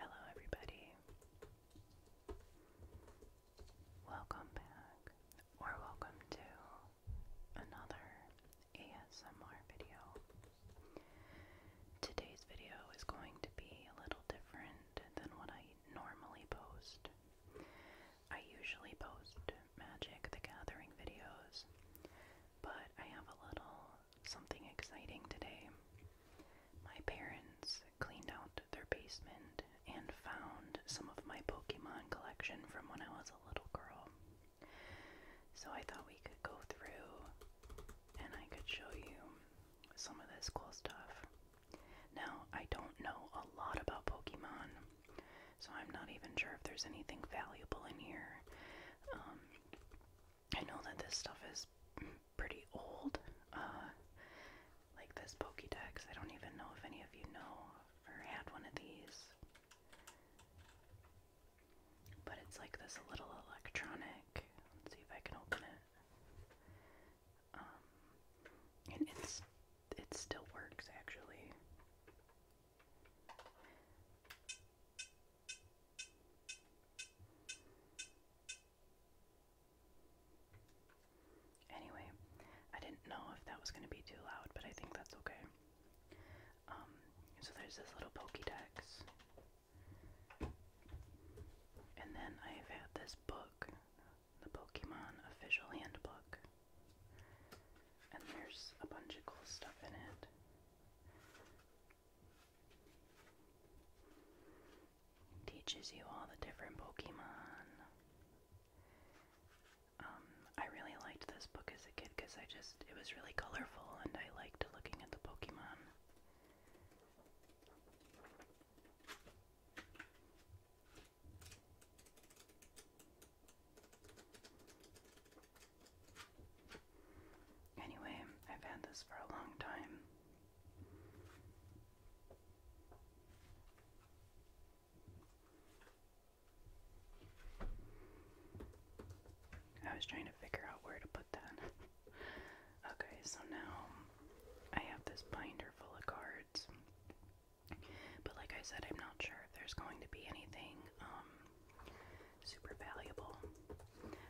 Hello, everybody. Welcome back, or welcome to another ASMR video. Today's video is going to be a little different than what I normally post. I usually post Magic the Gathering videos, but I have a little something exciting today. My parents cleaned out their basement and found some of my Pokemon collection from when I was a little girl. So I thought we could go through and I could show you some of this cool stuff. Now, I don't know a lot about Pokemon, so I'm not even sure if there's anything valuable in here. Um, I know that this stuff is pretty old. Uh, like this Pokédex, I don't even know if any of you know if or had one of these. But it's like this little electronic. Let's see if I can open it. Um, and it's it still works actually. Anyway, I didn't know if that was going to be too loud, but I think that's okay. Um, so there's this little Pokédex. And then I've had this book, the Pokemon Official Handbook. And there's a bunch of cool stuff in it. Teaches you all the different Pokemon. Um, I really liked this book as a kid because I just, it was really colorful and I liked looking at the Pokemon. Anyway, I've had this for a long time. I was trying to figure out where to put that. okay, so now I have this binder full of cards. But like I said, I'm not sure if there's going to be anything um, super valuable.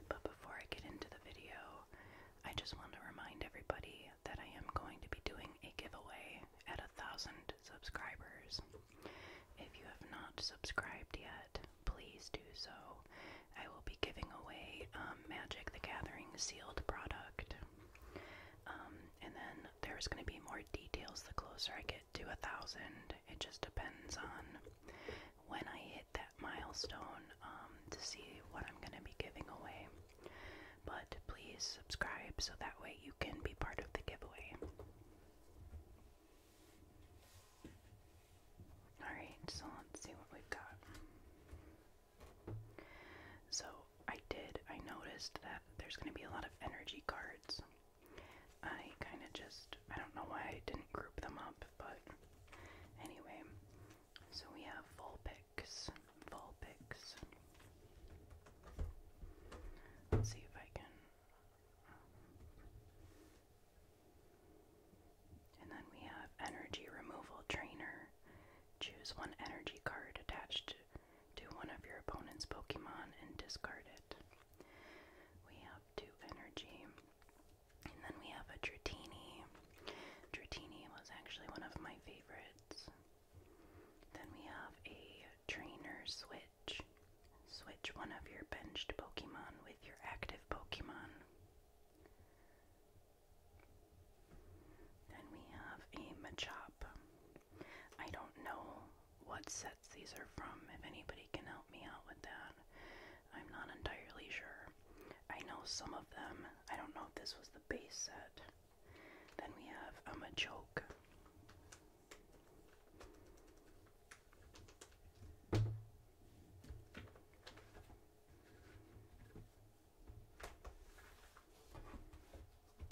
But before I get into the video, I just want to remind everybody that I am going to be doing a giveaway at a thousand subscribers. If you have not subscribed yet, please do so. I will be giving away um, Magic the Gathering sealed product. Um, and then there's going to be more details the closer I get to a thousand. It just depends on when I hit that milestone um, to see what I'm going to be giving away. But please subscribe so that way you can be part of the giveaway. Alright, so let's see what we've got. So, I did, I noticed that there's going to be a lot of energy cards. I kind of just, I don't know why I didn't group them up, but anyway. So we have Vulpix. Vulpix. Let's see if I can. Uh, and then we have Energy Removal Trainer. Choose one energy card attached to one of your opponent's Pokemon and discard it. We have two energy. And then we have a Dratini. Dratini was actually one of my favorites. Then we have a trainer switch. Switch one of your benched Pokemon with your active Pokemon. Then we have a Machop. I don't know what set these are from, if anybody can help me out with that. I'm not entirely sure. I know some of them. I don't know if this was the base set. Then we have um, a Machoke.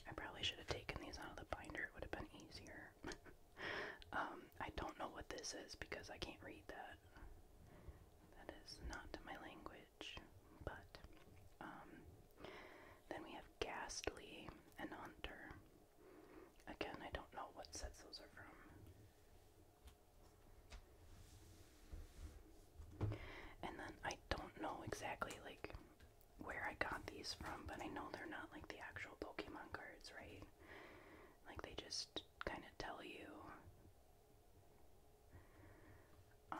I probably should have taken these out of the binder, it would have been easier. Um, I don't know what this is because I can't read that. That is not my language. But um, then we have Ghastly and Hunter. Again, I don't know what sets those are from. And then I don't know exactly like where I got these from, but I know they're not like the actual Pokemon cards, right? Like they just kind of tell you um,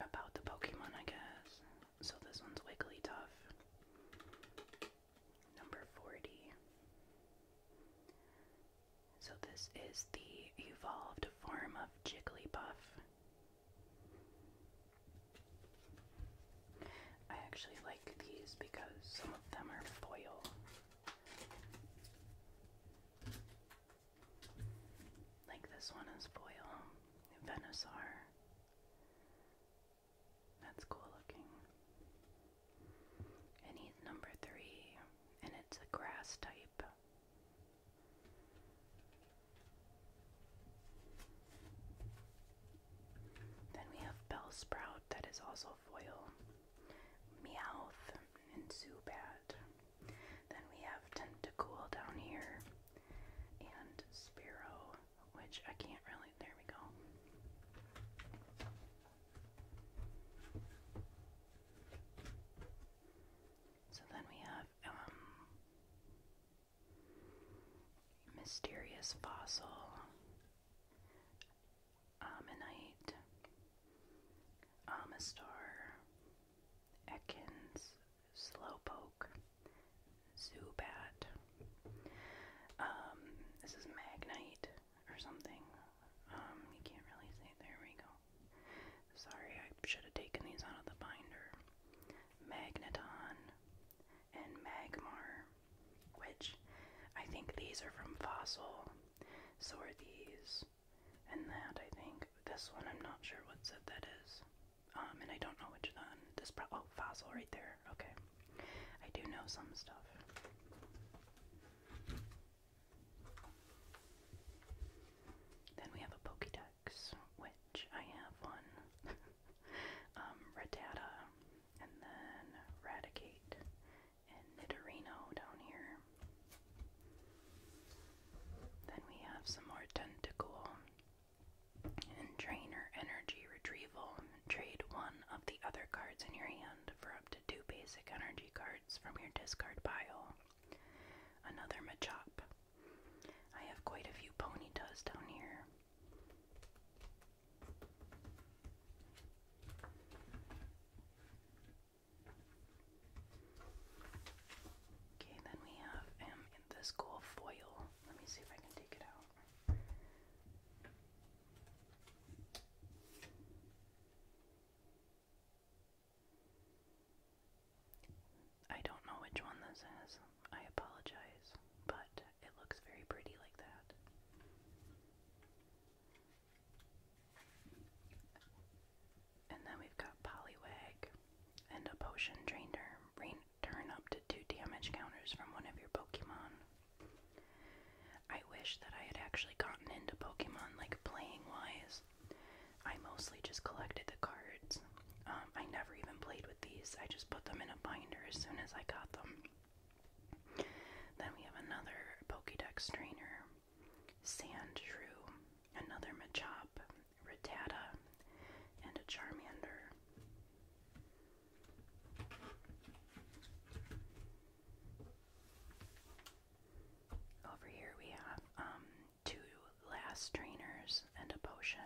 about the Pokemon, I guess. So this one's Wigglytuff, number 40. So this is the evolved form of Jigglypuff. I actually like these because some of them are foil. Like this one is foil. Venusaur. That's cool looking. And he's number three, and it's a grass type. Then we have Bell Sprout that is also foil, Meowth, and Zubat. Then we have Tentacool down here, and Spiro, which I can't really, there we go. So then we have um mysterious fossil, ammonite, amistar, ekins, slowpoke, zubat. Um, this is magnite or something. Um, you can't really say. There we go. Sorry, I should have taken these out of the binder. Magneton, and Magmar, which I think these are from Fossil. So are these. And that, I think. This one, I'm not sure what set that is. Um, and I don't know which one. This pro- oh, Fossil right there. Okay. I do know some stuff. Then we have a Pokédex, which I have one. Um, Redata, and then Raticate and Nidorino down here. Then we have some more Tentacool and Trainer Energy Retrieval. Trade one of the other cards in your hand for up to two basic energy cards from your discard pile. Another Machop. I have quite a few Ponytas down here. Okay, then we have this cool foil. Let me see if I can take it out. I don't know which one this is. I apologize, but it looks very pretty like that. And then we've got Poliwag and a potion trainer. Turn up to two damage counters from one of your Pokemon. I wish that I had actually gotten into Pokemon like playing wise. I mostly just collected the cards. Um, I never even played with these. I just put them in a binder as soon as I got them. Then we have another Pokédex trainer, Sandshrew, another Machop, Rattata, and a Charmander. Over here we have um, two last trainers and a potion.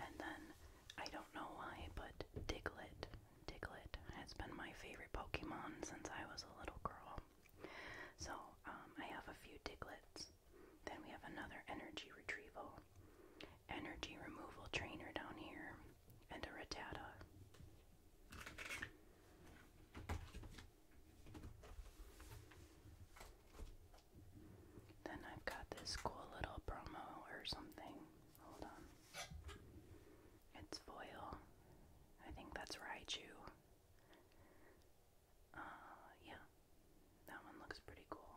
And then I don't know why, but Diglett, Diglett has been my favorite Pokemon since I was a little girl. So um, I have a few Diglets. Then we have another energy retrieval, energy removal trainer down here, and a Rattata. Then I've got this cool little promo or something. Hold on. It's foil. I think that's Raichu. Uh, yeah. That one looks pretty cool.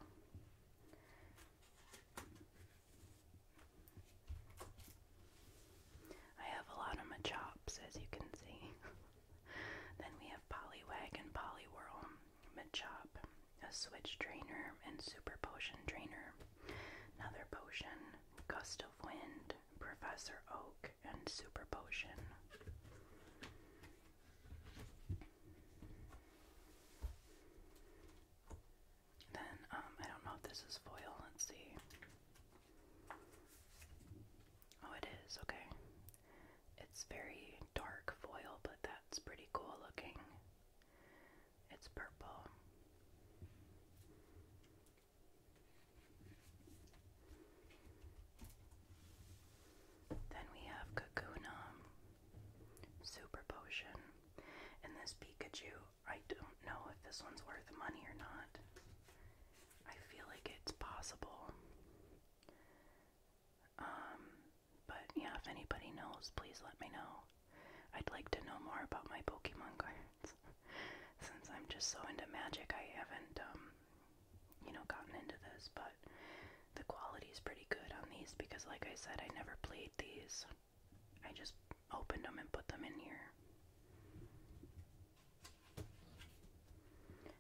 I have a lot of my chops, as you can see. then we have Poliwag and Poliwhirl. Machop, a switch trainer and super potion trainer, another potion, gust of wind, Professor Oak, and super potion. Then, um, I don't know if this is foil, let's see. Oh, it is, okay. It's very dark foil, but that's pretty cool looking. It's purple. Then we have Kakuna, Super Potion, and this Pikachu. I don't know if this one's worth money or not. I feel like it's possible. Um, but yeah, if anybody knows, please let me know. I'd like to know more about my Pokemon cards. Since I'm just so into magic, I haven't, um, you know, gotten into this, but the quality's pretty good on these because, like I said, I never played these. I just opened them and put them in here.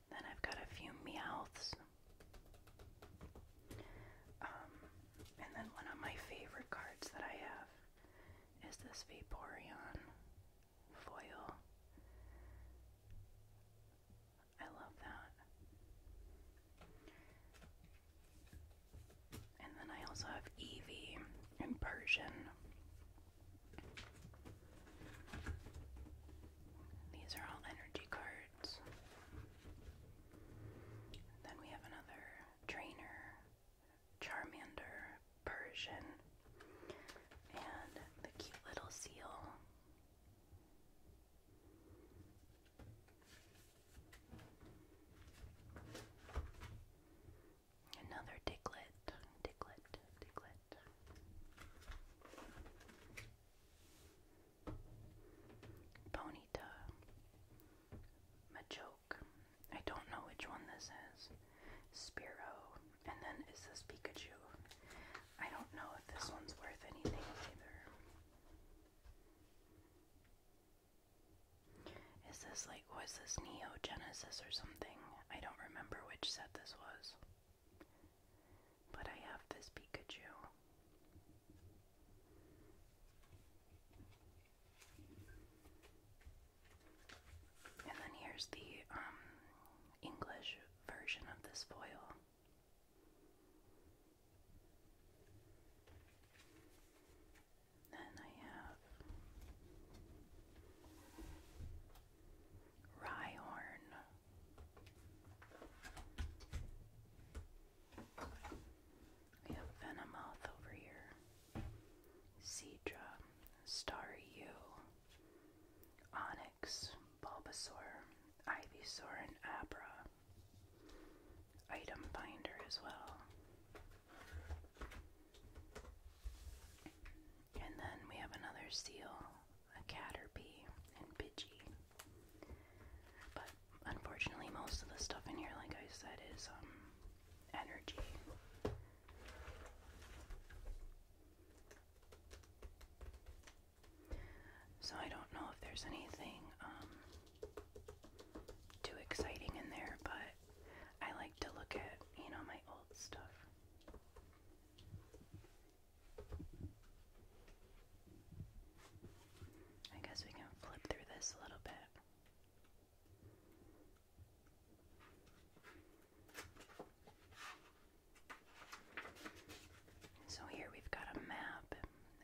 Then I've got a few Meowths. Um, and then one of my favorite cards that I have is this Vaporeon foil. I love that. And then I also have Eevee and Persian. These are all energy cards. And then we have another trainer, Charmander, Persian, and the cute little seal. Another Diglett, Diglett, Diglett. Ponyta, Machoke. I don't know which one this is. Spiro, and then is this Pikachu? I don't know if this one's worth anything either. Is this like, was this Neo Genesis or something? I don't remember which set this was. But I have this Pikachu. And then here's the um, English version of this foil. Then I have Rhyhorn we have Venomoth over here. Seedra, Staryu, Onyx, Bulbasaur, Ivysaur, and Abra. Item binder as well. And then we have another seal, a Caterpie, and Pidgey. But unfortunately, most of the stuff in here, like I said, is um, energy. So I don't know if there's anything um, too exciting in there, but I like to look at, you know, my old stuff. I guess we can flip through this a little bit. So here we've got a map,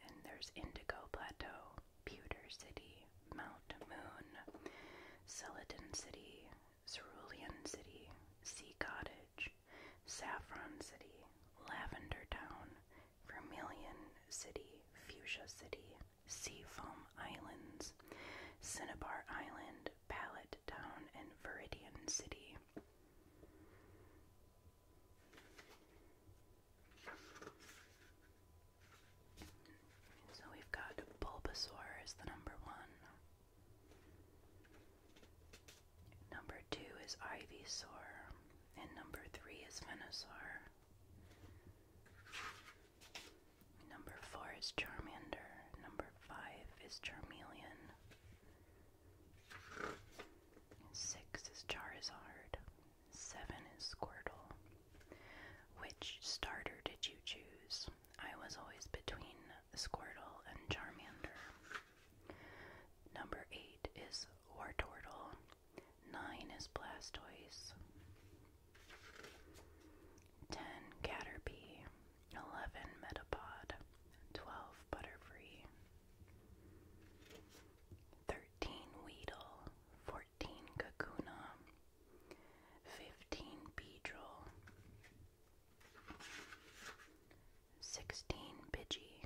and there's Indigo Plateau, Pewter City, Mount Moon, Celadon City, Cerulean City, Sea Cottage, Saffron City, Lavender Town, Vermilion City, Fuchsia City, Seafoam Islands, Cinnabar Island, Pallet Town, and Viridian City. So we've got Bulbasaur is the number one. Number two is Ivysaur. And number three is Venusaur. Number four is Charmander. Number five is Charmeleon. Six is Charizard. Seven is Squirtle. Which starter did you choose? I was always between Squirtle and Charmander. Number eight is Wartortle. 9 is Blastoise, 10 Caterpie, 11 Metapod, 12 Butterfree, 13 Weedle, 14 Kakuna, 15 Beedrill, 16 Pidgey,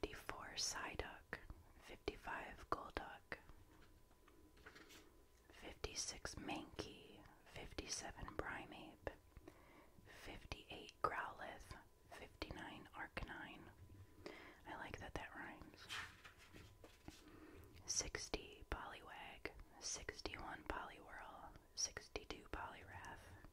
54 Psyduck, 55 Golduck, 56 Manki, 57 Primeape, 58 Growlithe, 59 Arcanine. I like that that rhymes. 60 Poliwag, 61 Poliwhirl, 62 Poliwrath,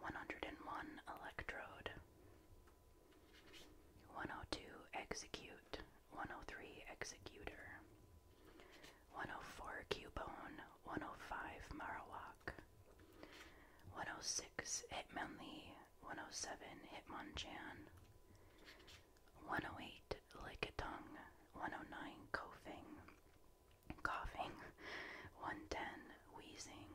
101 Electrode, 102 Execute, 103 Executor, 104 Cubone, 105 Marowak, 106 Hitmonlee, 107 Hitmonchan, 108 Lickitung, 109 Coughing, Coughing, 110 Wheezing,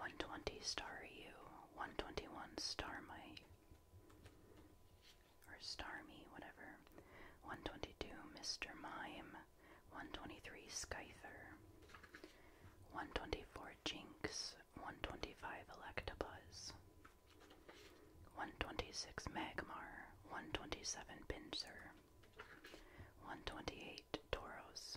120 star 121 star might, or star me, whatever. 122 Mr. Mime, 123 Scyther, 124 Jinx, 125 Electabuzz, 126 Magmar, 127 Pinsir, 128 Tauros,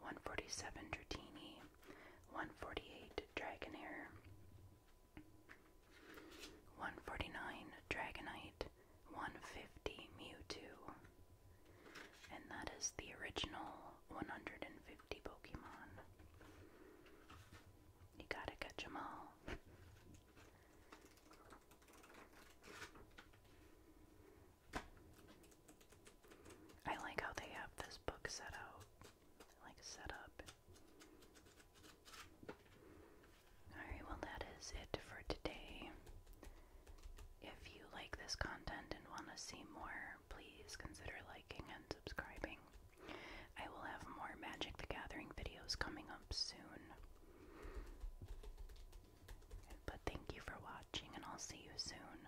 147 Dratini, 148 Dragonair, 149 Dragonite, 150 Mewtwo. And that is the original 150 Pokemon. You gotta catch 'em all. I like how they have this book set out like set up. Alright, well that is it for today. If you like this content and want to see more, please consider liking and subscribing. I will have more Magic the Gathering videos coming up soon. But thank you for watching, and I'll see you soon.